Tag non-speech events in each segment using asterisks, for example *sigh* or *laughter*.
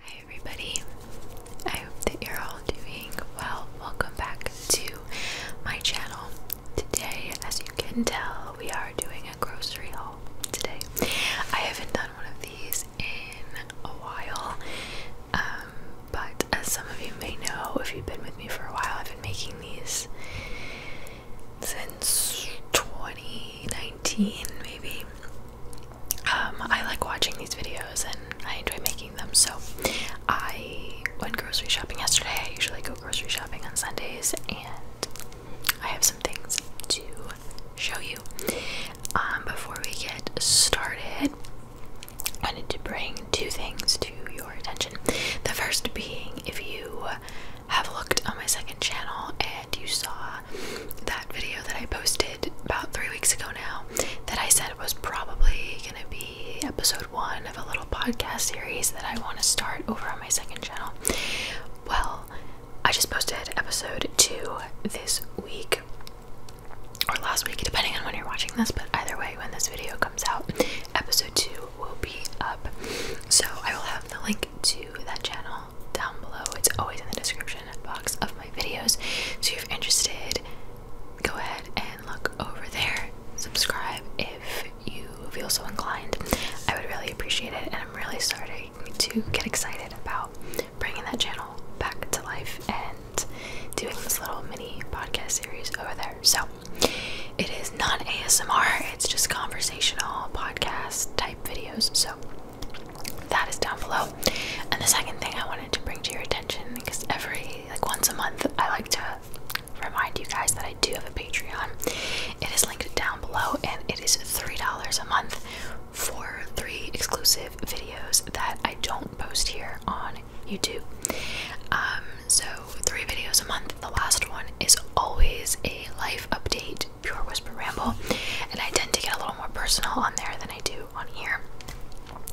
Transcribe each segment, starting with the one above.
Hi everybody, I hope that you're all doing well. Welcome back to my channel. Today, as you can tell, we are doing a grocery haul today. I haven't done one of these in a while, um, but as some of you may know, if you've been with me for a while, I've been making these since 2019 maybe. Um, I like watching these videos and I enjoy making them. So I went grocery shopping yesterday. I usually go grocery shopping on Sundays, and I have some things to show you. Um, before we get started, I need to bring two things to your attention. The first being if you have looked on my second channel and you saw that video that I posted about three weeks ago now that I said was probably gonna be episode one of a little podcast series that I want to start over on my second channel. Well, I just posted episode two this week or last week, depending on when you're watching this, but either way, when this video comes out, episode two will be up. So I will have the link to that channel down below. It's always in the description box of my videos. So if you're interested, go ahead and look over there. Subscribe if you feel so inclined. I would really appreciate it, and I'm really starting to get excited about bringing that channel back to life and doing this little mini podcast series over there. So it is non ASMR, it's just conversational podcast type videos. So that is down below. And the second thing I wanted to bring to your attention, because every like once a month I like to remind you guys that I do have a Patreon. It is linked down below and it is $3 a month for three exclusive videos that I don't post here on YouTube. Um, so three videos a month. The last one is always a life update Pure Whisper Ramble, and I tend to get a little more personal on there than I do on here.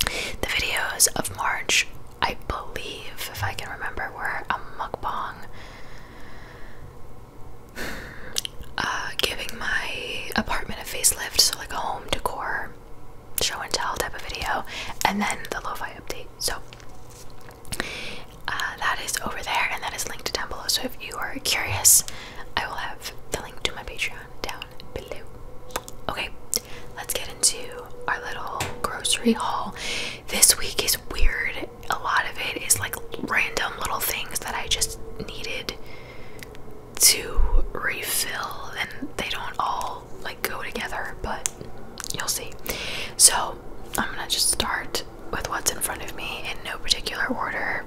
The videos of March, I believe, if I can remember, were a mukbang. *sighs* Uh, giving my apartment a facelift, so like a home decor show and tell type of video, and then the lofi update. So, uh, that is over there and that is linked down below. So if you are curious, I will have the link to my Patreon down below. Okay, let's get into our little grocery haul. This week is weird. A lot of it is like random little things that I just needed to refill, and they don't all like go together, but you'll see. So I'm gonna just start with what's in front of me in no particular order.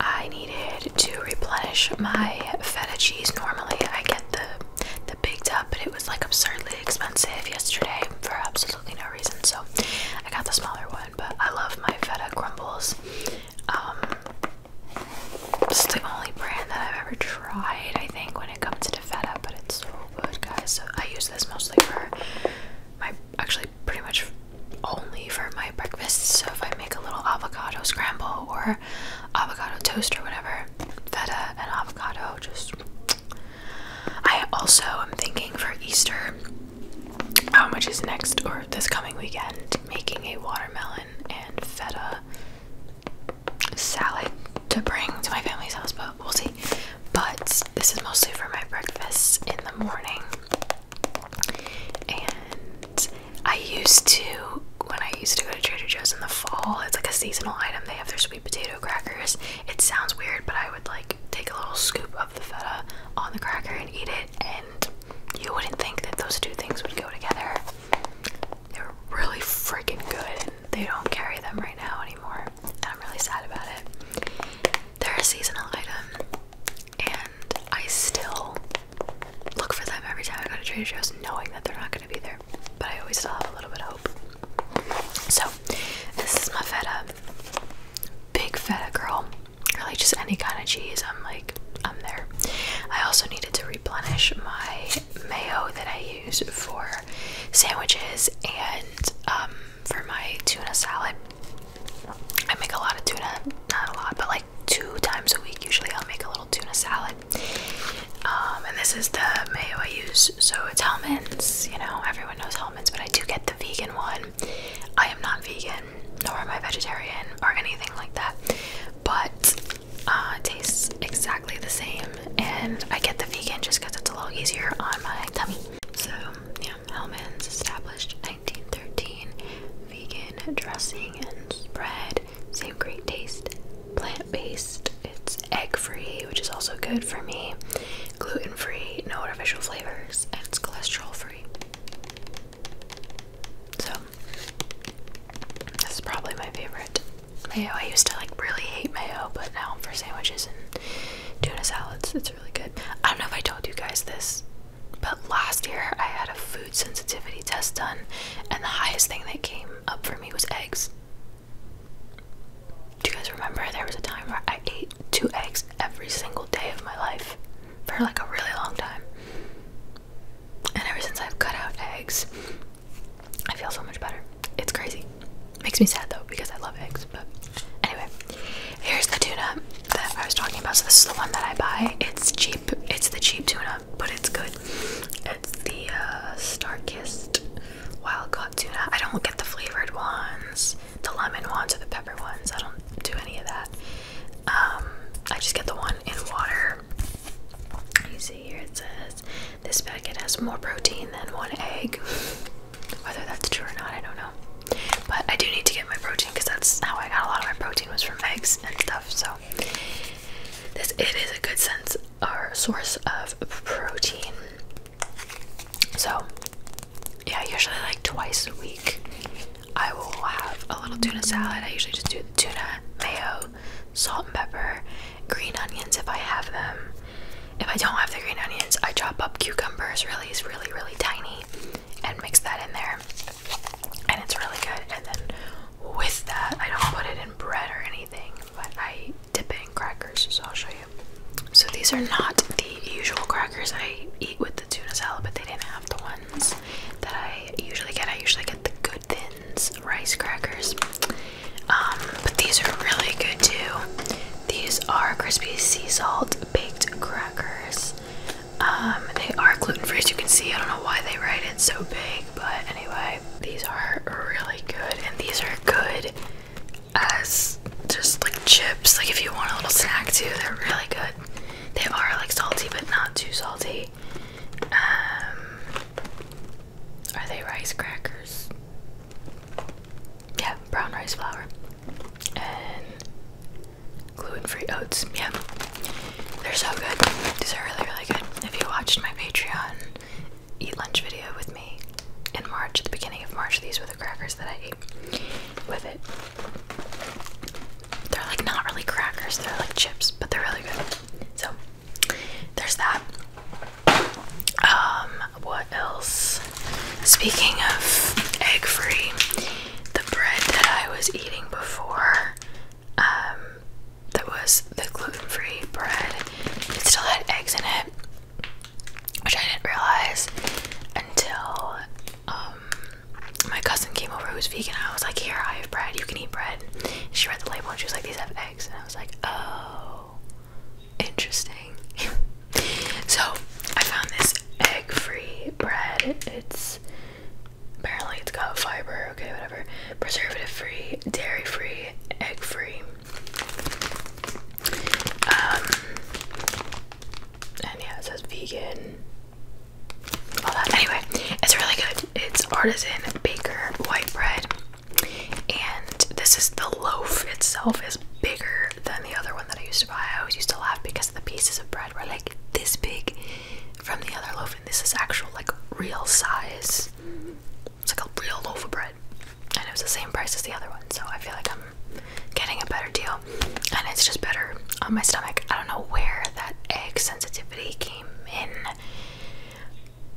I needed to replenish my feta cheese. Normally, I get the the big tub, but it was like absurdly expensive yesterday for absolutely no reason. So I got the smaller one. But I love my feta crumbles. Um, it's the only brand that I've ever tried, I think, when it comes to feta. But it's so good, guys. So I use this mostly for my actually pretty much only for my breakfast. So if I make a little avocado scramble or avocado toast or whatever, feta and avocado just. I also am thinking for Easter, How much is next or this coming weekend, making a watermelon and feta salad to bring to my family's house, but we'll see but this is mostly for my breakfast in the morning. And I used to, when I used to go to Trader Joe's in the fall, it's like a seasonal item. They have their sweet potato crackers. It sounds weird, but I would like take a little scoop of the feta on the cracker and eat it, and you wouldn't think that those two things would go together. They're really freaking good, and they don't carry them right now anymore. And I'm really sad about it. They're a seasonal item, and I still look for them every time I go to Trader Joe's, knowing that they're not going to be there. But I always still have a little bit of hope. So, this is my feta. Big feta girl. Really, just any kind of cheese. I'm like, I'm there. I also needed to replenish my mayo that I use for sandwiches and um, for my tuna salad. I make a lot of tuna, not a lot, but like two times a week. Usually, I'll make a little tuna salad. Um, and this is the mayo I use, so it's Hellman's. You know, everyone knows Hellman's, but I do get the vegan one. I am not vegan, nor am I vegetarian or anything like that, but uh, it tastes exactly the same. And I get the vegan just because it's a lot easier on my tummy. So, yeah, Hellman's established 1913 vegan dressing and spread. Same great taste. Plant based, it's egg free, which is also good for me. Gluten free, no artificial flavors, and it's cholesterol free. So, this is probably my favorite mayo. I used to like really hate mayo, but now for sandwiches and tuna salads. It's really good. I don't know if I told you guys this, but last year I had a food sensitivity test done, and the highest thing that came up for me was eggs. Do you guys remember there was a time where I ate two eggs every single day of my life for like a really long time? And ever since I've cut out eggs, I feel so much better. It's crazy. Makes me sad though because I love eggs. But anyway, here's the tuna that I was talking about. So this is the one that I buy. It's cheap. It's the cheap tuna, but it's good. It's the uh, Starkist wild caught tuna. I don't get the flavored ones, the lemon ones or the pepper ones. I don't do any of that. Um, I just get the one in water. You see here it says this packet has more protein than one egg. Whether that's true or not, I don't know. But I do need to get my protein because that's how I got a lot of my protein was from eggs and stuff. So this it is a good source of protein. So yeah, usually like twice a week I will have a little tuna salad. I usually just do the tuna, mayo, salt and pepper, green onions if I have them. If I don't have the green onions, I chop up cucumbers really, really, really tiny and mix that in there. And it's really good. And then with that, I don't put it in bread or anything, but I dip it in crackers, so I'll show you. So these are not the usual crackers I eat with the tuna salad, but they didn't have the ones that I usually get. I usually get the good thins rice crackers. Um, but these are really good too. These are crispy sea salt baked crackers. Um, they are gluten free, as you can see. I don't know why they write it so big, but anyway, these are really good, and these are good as just like chips. Like if you want a little snack too, they're really good. They are like salty, but not too salty. Um, are they rice crackers? Yeah, brown rice flour and gluten-free oats. Yeah, they're so good. These are really, really good. If you watched my Patreon eat lunch video with me in March, at the beginning of March, these were the crackers that I ate with it. They're like not really crackers, they're like chips, but they're really good. So there's that. Um, what else? Speaking of egg free, the bread that I was eating before, um, that was the gluten free bread, it still had eggs in it, which I didn't realize until um, my cousin came over who was vegan. I was like, Here, I have bread, you can eat bread. She read the label and she was like, These have eggs. I was like, oh, interesting. *laughs* so I found this egg-free bread. It's apparently it's got fiber. Okay, whatever. Preservative-free, dairy-free, egg-free. Um, and yeah, it says vegan. Anyway, it's really good. It's artisan baker white bread. And this is the loaf itself is bigger than the other one that I used to buy. I always used to laugh because the pieces of bread were like this big from the other loaf, and this is actual like real size. It's like a real loaf of bread, and it was the same price as the other one. So I feel like I'm getting a better deal, and it's just better on my stomach. I don't know where that egg sensitivity came in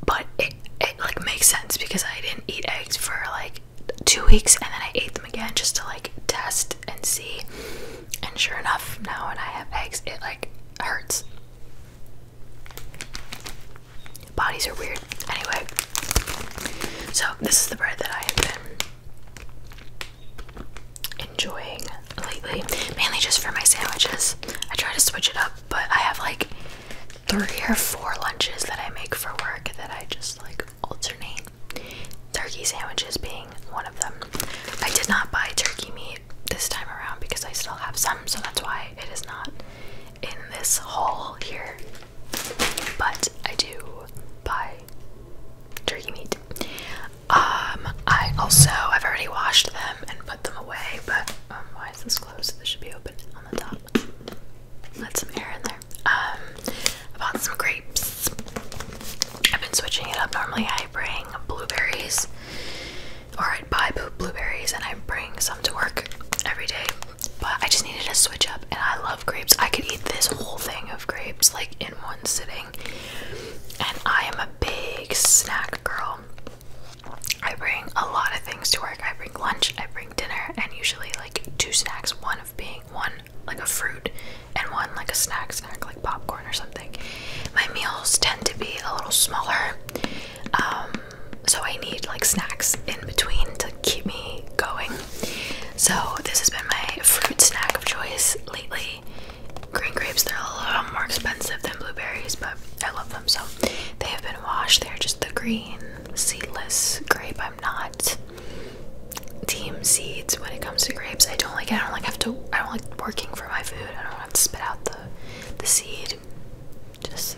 but it, it like makes sense because I didn't eat eggs for like two weeks and then I ate them again just to like test and see. And sure enough, now when I have eggs, it like hurts. Bodies are weird. Anyway, so this is the bread that I have been enjoying lately, mainly just for my sandwiches. I try to switch it up, but I have like three or four lunches that I make for work that I just like alternate. Turkey sandwiches being one of them. I did not buy turkey meat this time around because I still have some, so that's why it is not in this haul here. But I do buy turkey meat. Um, I also I've already washed them and put them away, but um, why is this closed? This should be open on the top. Let some air in there. Um, I bought some grapes. I've been switching it up. Normally I bring blueberries, or i buy blueberries and I bring some to work every day. But I just needed to switch up, and I love grapes. I could eat this whole thing of grapes like in one sitting. And I am a big snack girl. I bring a lot of things to work. I bring lunch, I bring dinner, and usually like two snacks, one of being one like a fruit and one like a snack snack like popcorn or something. My meals tend to be a little smaller. Um, so I need like snacks in between to keep me going. So this has been my fruit snack of choice lately green grapes they're a little more expensive than blueberries, but I love them so they have been washed. They're just the green seedless grape. I'm not team seeds when it comes to grapes. I don't like I don't like have to I don't like working for my food. I don't have to spit out the the seed. Just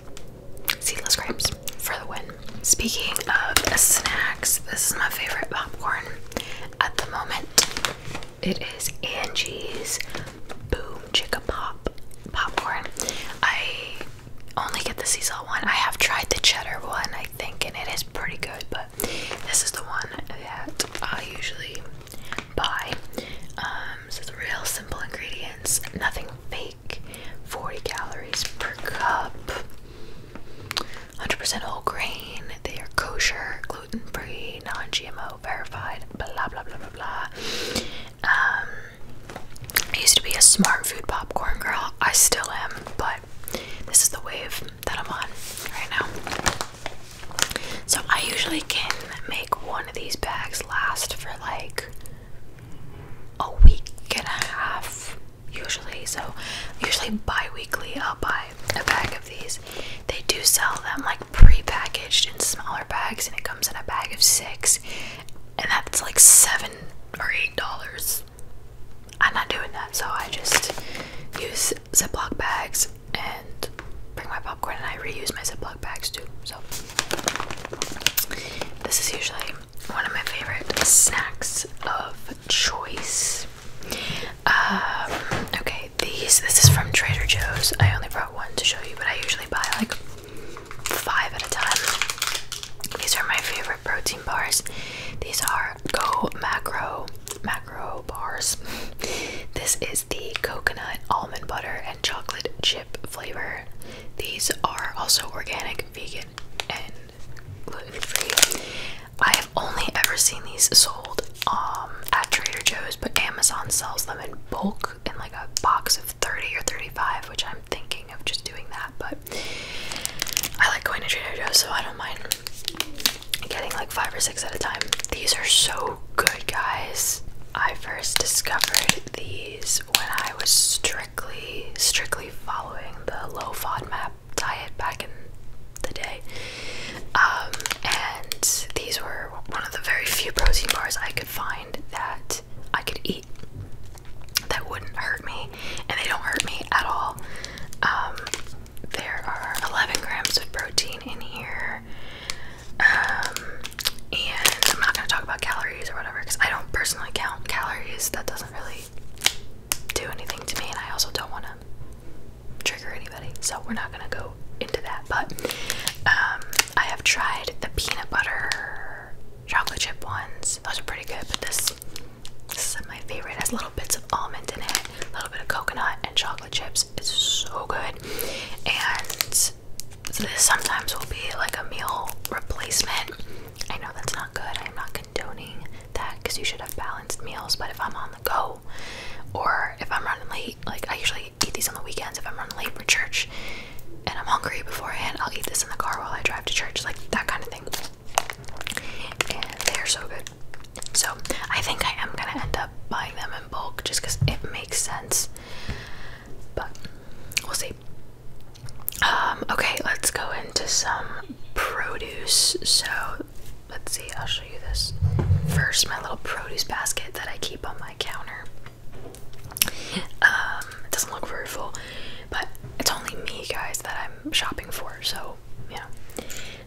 seedless grapes for the win. Speaking of snacks, this is my favorite popcorn at the moment. It is Angie's Boom Chicka Pop popcorn. I only get the sea salt one. I have tried the cheddar one, I think, and it is pretty good, but this is the one that I usually buy. Um, so it's real simple ingredients, nothing fake, 40 calories per cup, 100% whole grain, they are kosher, gluten free, non GMO, verified, blah blah blah blah blah. Um, I used to be a smart food popcorn girl. I still am, but this is the wave that I'm on right now. So I usually can make one of these bags last for like a week and a half usually so usually bi-weekly i'll buy a bag of these they do sell them like prepackaged in smaller bags and it comes in a bag of six and that's like seven or eight dollars. I'm not doing that, so I just use Ziploc bags and bring my popcorn and I reuse my Ziploc bags too. So this is usually one of my favorite snacks of choice. Um, okay, these. This is from Trader Joe's. I only brought one to show you, but I usually buy like five at a time. These are my favorite protein bars. These are Go Macro Macro Bars. *laughs* This is the coconut, almond butter, and chocolate chip flavor. These are also organic, vegan, and gluten free. I have only ever seen these sold um, at Trader Joe's, but Amazon sells them in bulk in like a box of 30 or 35, which I'm thinking of just doing that. But I like going to Trader Joe's, so I don't mind getting like five or six at a time. These are so good, guys. I first discovered these when I was strictly, strictly following the low FODMAP diet back in the day. Um, and these were one of the very few protein bars I could find that I could eat that wouldn't hurt me, and they don't hurt me at all. Um, there are 11 grams of protein in here. Um, and I'm not going to talk about calories or whatever because I don't personally count calories. That doesn't really do anything to me, and I also don't want to trigger anybody, so we're not gonna go into that. But um, I have tried the peanut butter chocolate chip ones; those are pretty good. But this, this is my favorite. It has little bits of almond in it, a little bit of coconut, and chocolate chips. It's so good. And this sometimes will be like a meal replacement. I know that's not good. I'm not condoning that because you should have balance meals, but if I'm on the go or if I'm running late, like I usually eat these on the weekends if I'm running late for church and I'm hungry beforehand, I'll eat this in the car while I drive to church, like that kind of thing. they are so good. So I think I am gonna end up buying them in bulk just because it makes sense. But we'll see. Um, okay, let's go into some produce. So let's see, I'll show you this. First, my little produce basket that I keep on my counter. Um, it doesn't look very full, but it's only me, guys, that I'm shopping for, so you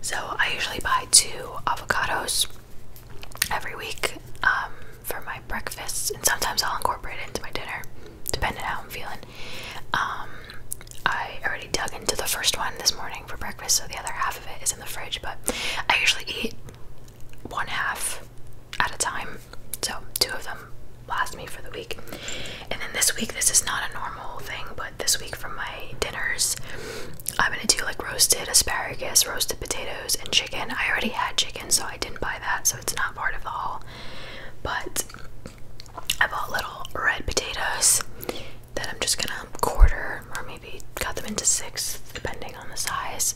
So I usually buy two avocados every week um, for my breakfast, and sometimes I'll incorporate it into my dinner, depending on how I'm feeling. Um, I already dug into the first one this morning for breakfast, so the other half of it is in the fridge. But I usually eat one half at a time, so two of them last me for the week. And then this week, this is not a normal thing, but this week for my dinners, I'm gonna do like roasted asparagus, roasted potatoes, and chicken. I already had chicken, so I didn't buy that, so it's not part of the haul. But I bought little red potatoes that I'm just gonna quarter or maybe cut them into six, depending on the size,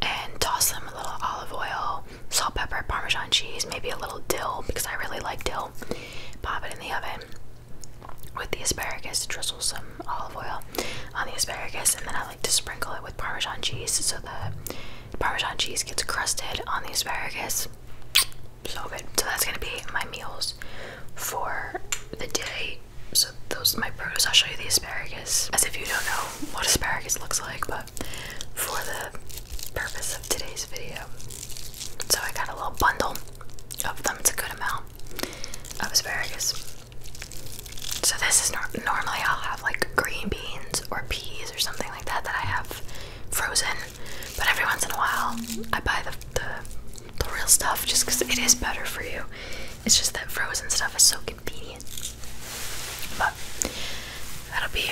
and toss them a little olive oil, salt, pepper, parmesan cheese, maybe a little dill because I really like dill. Pop it in the oven with the asparagus, drizzle some olive oil on the asparagus, and then I like to sprinkle it with parmesan cheese so the parmesan cheese gets crusted on the asparagus. So good. So that's gonna be my meals for the day. So those are my produce. I'll show you the asparagus. As if you don't know what asparagus looks like, but for the purpose of today's video. So I got a little bundle of them. It's a good amount of asparagus. So this is nor normally I'll have like green beans or peas or something like that that I have frozen, but every once in a while I buy the, the, real stuff just because it is better for you. It's just that frozen stuff is so convenient. But that'll be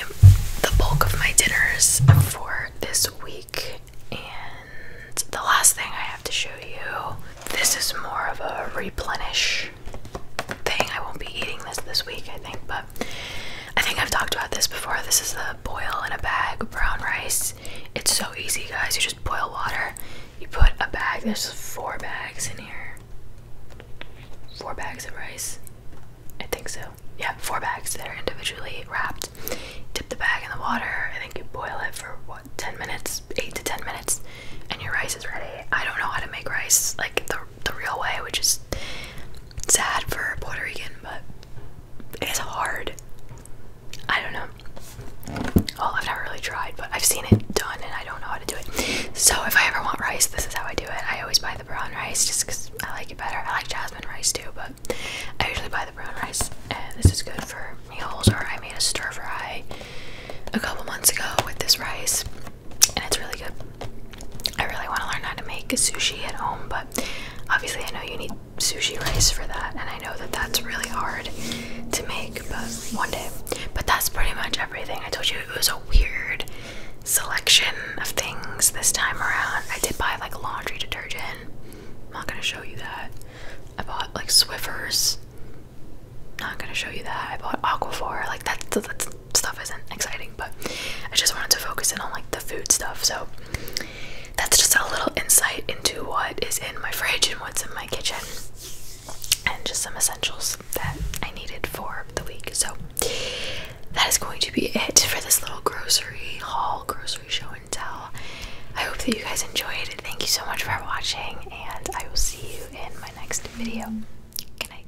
the bulk of my dinners for this week. And the last thing I have to show you this is more of a replenish thing. I won't be eating this this week, I think, but I think I've talked about this before. This is the boil in a bag brown rice. It's so easy, guys. You just boil water. You put a bag. There's four bags in here. Four bags of rice. I think so. Yeah, four bags that are individually wrapped. Dip the bag in the water. I think you boil it for what, 10 minutes, 8 to 10 minutes, and your rice is ready. I don't know how to make rice. Like the the real way, which is sad for a Puerto Rican, but it's hard. I don't know. Well, I've not really tried, but I've seen it done and I don't know how to do it. So if I ever want rice, this is how I do it. I always buy the brown rice just because I like it better. I like jasmine rice too, but I usually buy the brown rice and this is good for meals. Or I made a stir fry a couple months ago with this rice and it's really good. I really want to learn how to make sushi at home, but obviously I know you need sushi rice for that, and I know that that's really hard to make, but one day. But that's pretty much everything. I told you it was a weird selection of things this time around. I did buy like laundry detergent. I'm not gonna show you that. I bought like Swiffers. Not gonna show you that. I bought Aquaphor. Like that's that's stuff isn't exciting, but I just wanted to focus in on like the food stuff. So that's just a little insight into what is in my fridge and what's in my kitchen, and just some essentials that I needed for the week. So that is going to be it for this little grocery haul, grocery show and tell. I hope that you guys enjoyed Thank you so much for watching, and I will see you in my next video. Good night.